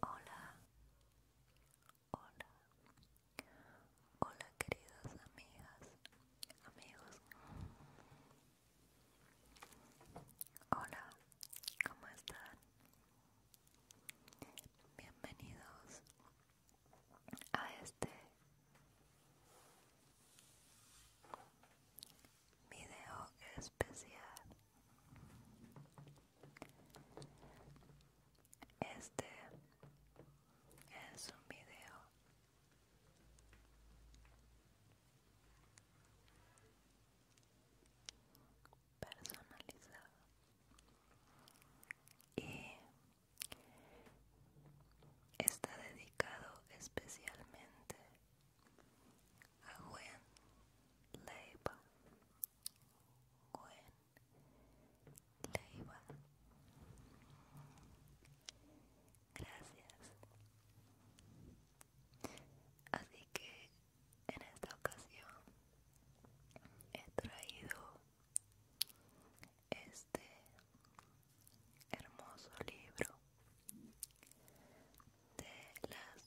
Hola, hola, hola queridas amigas, amigos. Hola, ¿cómo están? Bienvenidos a este video especial este es un video personalizado y Está dedicado especialmente a Gwen Leiva. Gwen Leiva. Gracias. Así que en esta ocasión he traído este este hermoso libro de las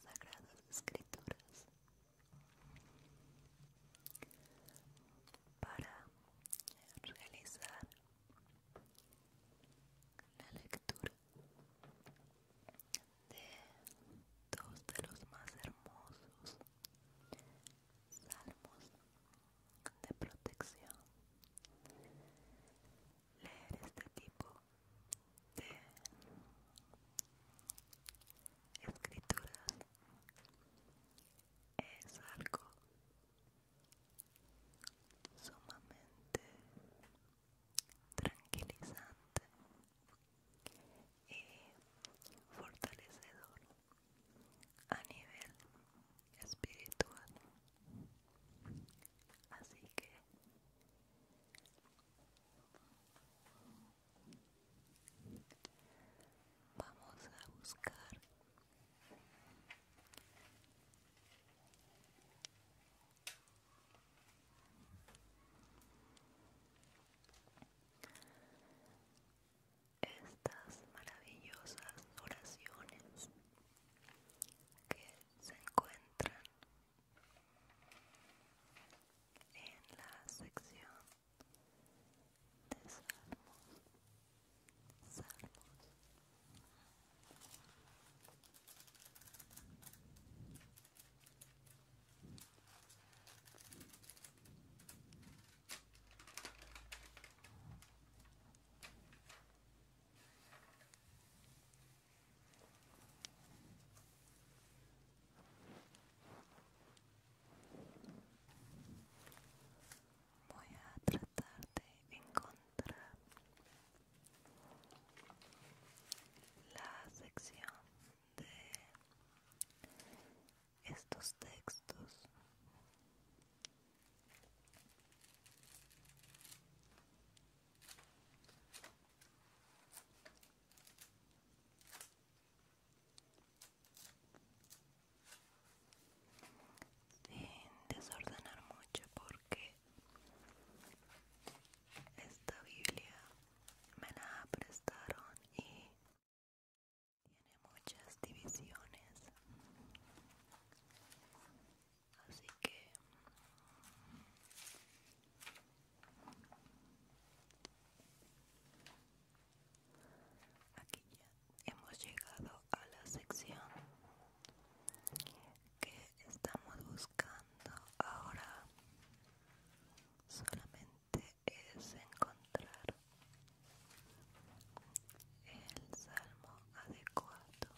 Sagradas Escrituras para realizar la lectura de dos de los más hermosos Salmos de protección. Leer este tipo de escrituras es algo sumamente tranquilizante y fortalecedor a nivel espiritual así que vamos a buscar estas maravillosas oraciones que se encuentran en la sección de salmos, Voy a tratar de encontrar la sección de estos textos. Sin desordenar mucho porque esta Biblia me la prestaron y tiene muchas divisiones, así que aquí ya hemos llegado a la sección que estamos buscando ahora solamente es encontrar el salmo adecuado.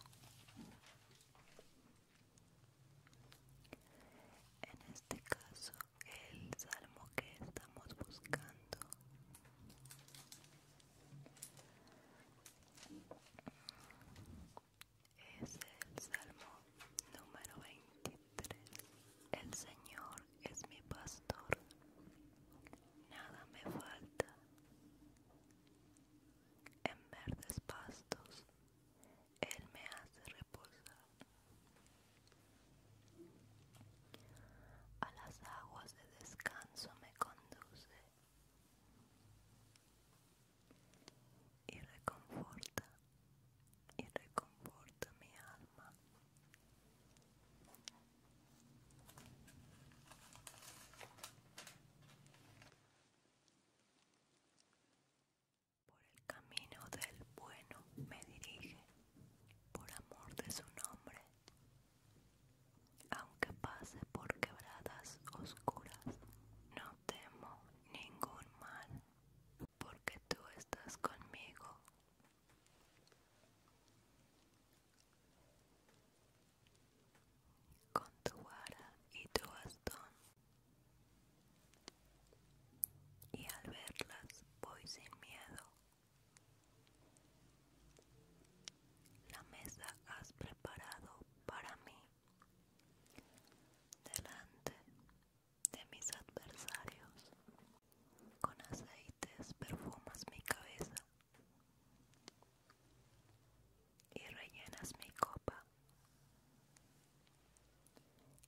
En este caso, el salmo que estamos buscando es el salmo número 23. El Señor es mi pastor, nada me falta. En verdes pastos, Él me hace reposar. A las aguas de descanso me conduce y reconforta y reconforta mi alma. Por el camino del bueno me dirige, por amor de su nombre. Aunque pase por quebradas oscuras, no temo ningún mal, porque tú estás conmigo. Con tu vara y tu bastón. Y al verlas voy sin miedo. La mesa has preparado para mí delante de mis adversarios. Con aceites perfumas mi cabeza y rellenas mi copa.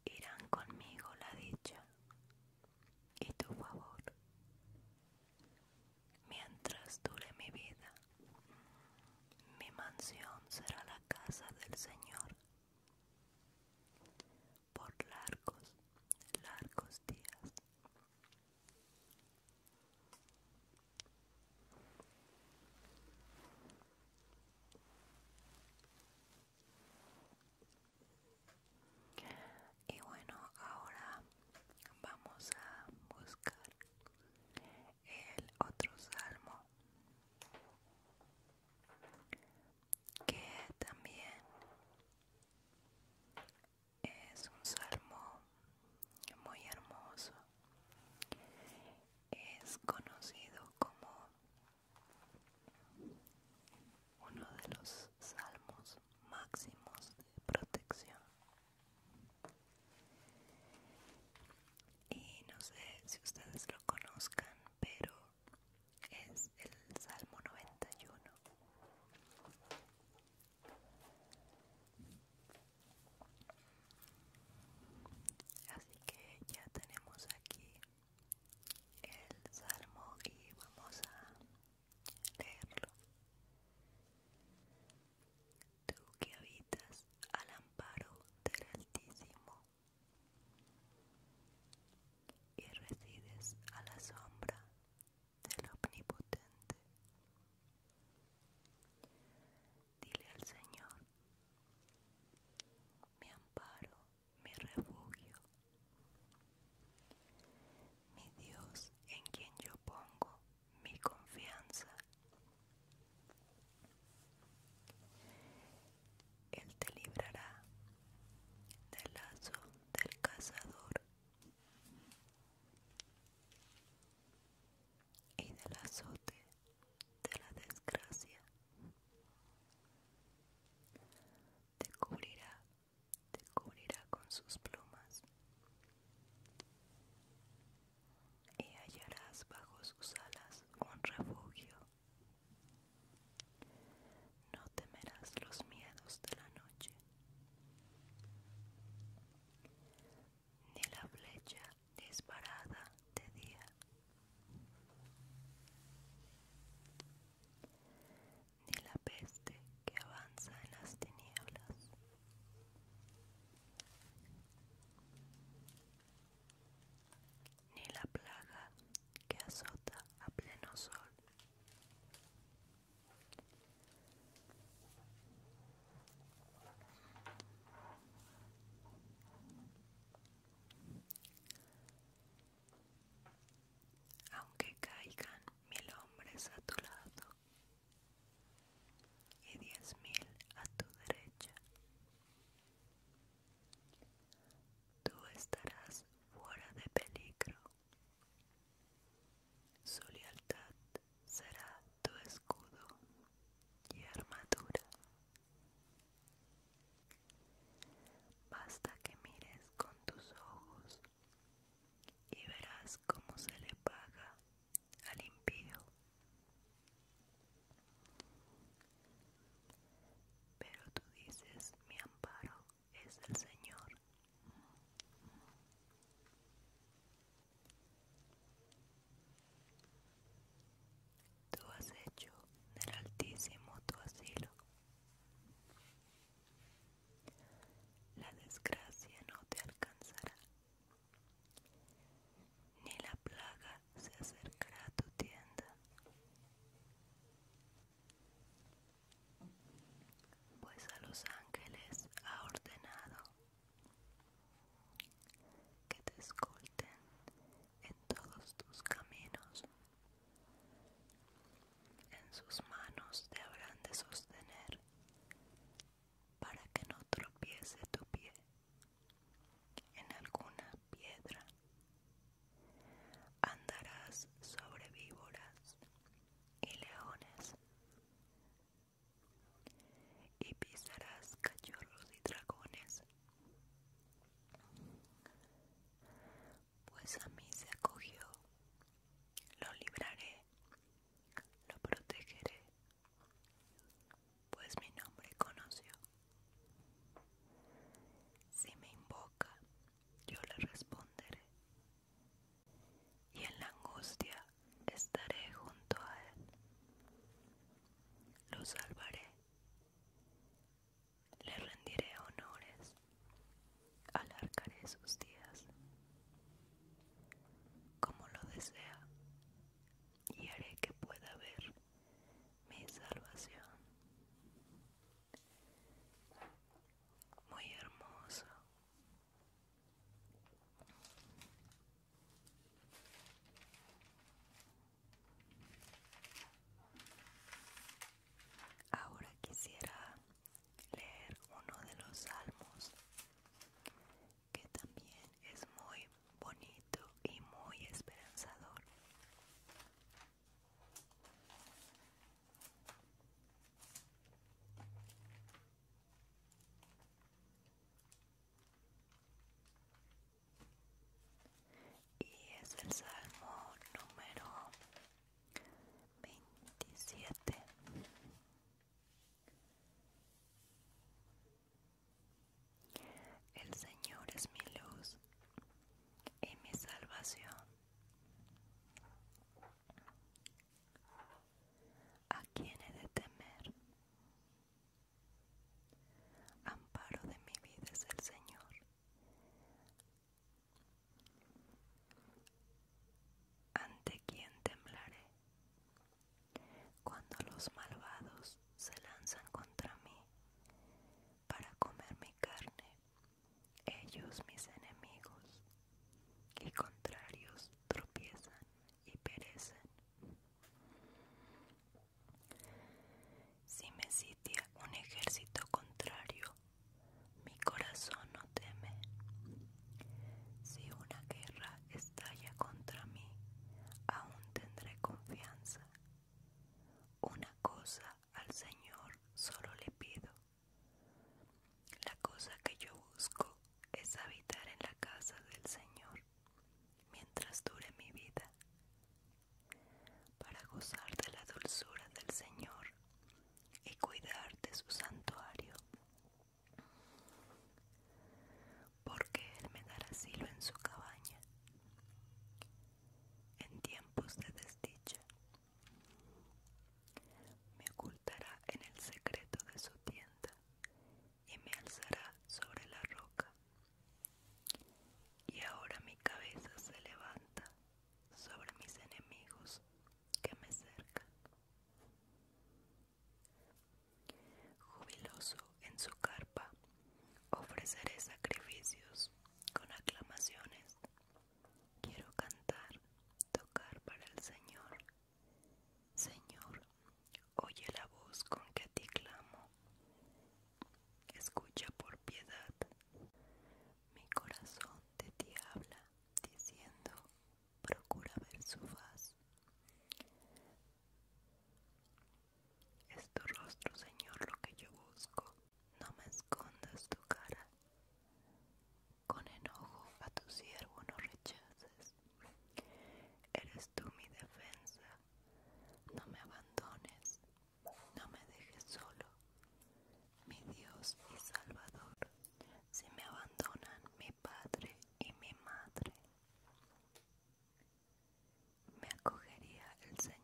Irán conmigo la dicha y tu favor mientras dure mi vida. Mi mansión será la casa del Señor, por largos, largos días. Y bueno, ahora vamos a buscar el otro salmo que también es un salmo muy hermoso es conocido como uno de los salmos máximos de protección y no sé si ustedes lo conozcan pero es el Salmo 91. Así que ya tenemos aquí el Salmo y vamos a leerlo. Tú que habitas al amparo del Altísimo y resides a la sombra del Omnipotente. Dile al Señor, mi amparo, mi refugio, mi Dios en quien yo pongo mi confianza. Él te librará del lazo del cazador y del azote de la desgracia. Te cubrirá, te cubrirá con sus plumas y hallarás bajo sus alas un refugio. No temerás los miedos de la noche, ni la flecha disparada de día, ni la peste que avanza en las tinieblas ni la plaga que azota a pleno sol. Aunque caigan mil hombres a tu lado y diez mil a tu derecha, tú estarás fuera de peligro. Su lealtad será tu escudo y armadura. Basta que mires con tus ojos y verás cómo se le paga al impío. Pero tú dices mi amparo es el Señor. Tú has hecho del Altísimo tu asilo. La desgracia no te alcanzará, ni la plaga se acercará a tu tienda pues a los ángeles ha ordenado que te escolten en todos tus caminos. En sus manos te habrán de sostener para que no tropiece tu pie en alguna piedra. Andarás sobre víboras y leones, y pisarás cachorros y dragones. Pues a mí se acogió, lo libraré, lo protegeré, pues mi nombre conoció. Si me invoca, yo le responderé. Y en la angustia estaré junto a él. Lo salvaré. Le rendiré honores. Alargaré sus días. Como lo desea. Y haré que pueda ver mi salvación muy hermoso ahora quisiera leer uno de los salmos que también es muy bonito y muy esperanzador y es el Salmo número 27. El Señor es mi luz y mi salvación. ¿A quién he de temer? Amparo de mi vida es el Señor. ¿Ante quién temblaré? Cuando los malvados se lanzan contra mí para comer mi carne, ellos, mis enemigos y contrarios, tropiezan y perecen. Si me sitia un ejército contrario, mi corazón no teme. Si una guerra estalla contra mí, aún tendré confianza. Una cosa al Señor solo le pido. La cosa que yo busco es habitar en la casa del Señor mientras dure mi vida, para gozar de la dulzura del Señor y cuidar de su santuario. Porque Él me dará asilo en su cabaña en tiempos de desdicha. Me ocultará en el secreto de su tienda y me alzará sobre la roca. Y ahora mi cabeza se levanta sobre mis enemigos que me cercan. Jubiloso en su carpa, ofreceré sacrificios con aclamaciones Quiero cantar, tocar para el Señor. Señor, oye la voz con que a ti clamo. Escucha por piedad. Mi corazón de ti habla, diciendo, procura ver su faz. Es tu rostro, Señor, lo que yo busco no me escondas tu cara, con enojo a tu siervo no rechaces, eres tú mi defensa, no me abandones, no me dejes solo, mi Dios y Salvador, si me abandonan mi padre y mi madre, me acogería el Señor.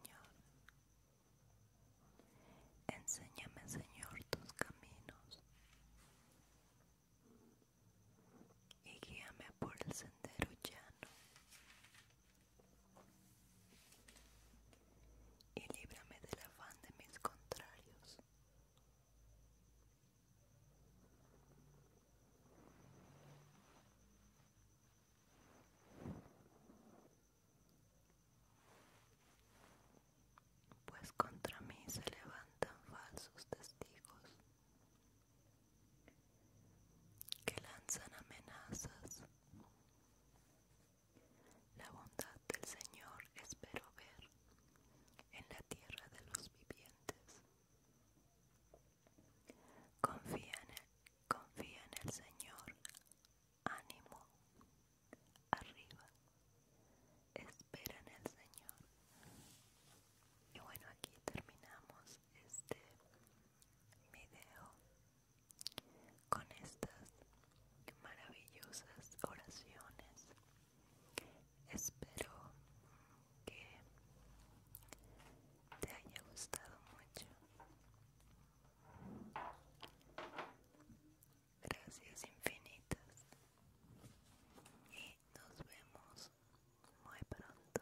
Enséñame, Señor, tus caminos y guíame por el sendero llano y líbrame del afán de mis contrarios pues contra mí se levantan falsos testigos que lanzan amenazas. La bondad del Señor espero ver en la tierra de los vivientes. Confía en el, confía en el Señor, ánimo, arriba, espera en el Señor. Y bueno, aquí terminamos este video con estas maravillosas oraciones. Espero que te haya gustado mucho Gracias infinitas. Y nos vemos muy pronto.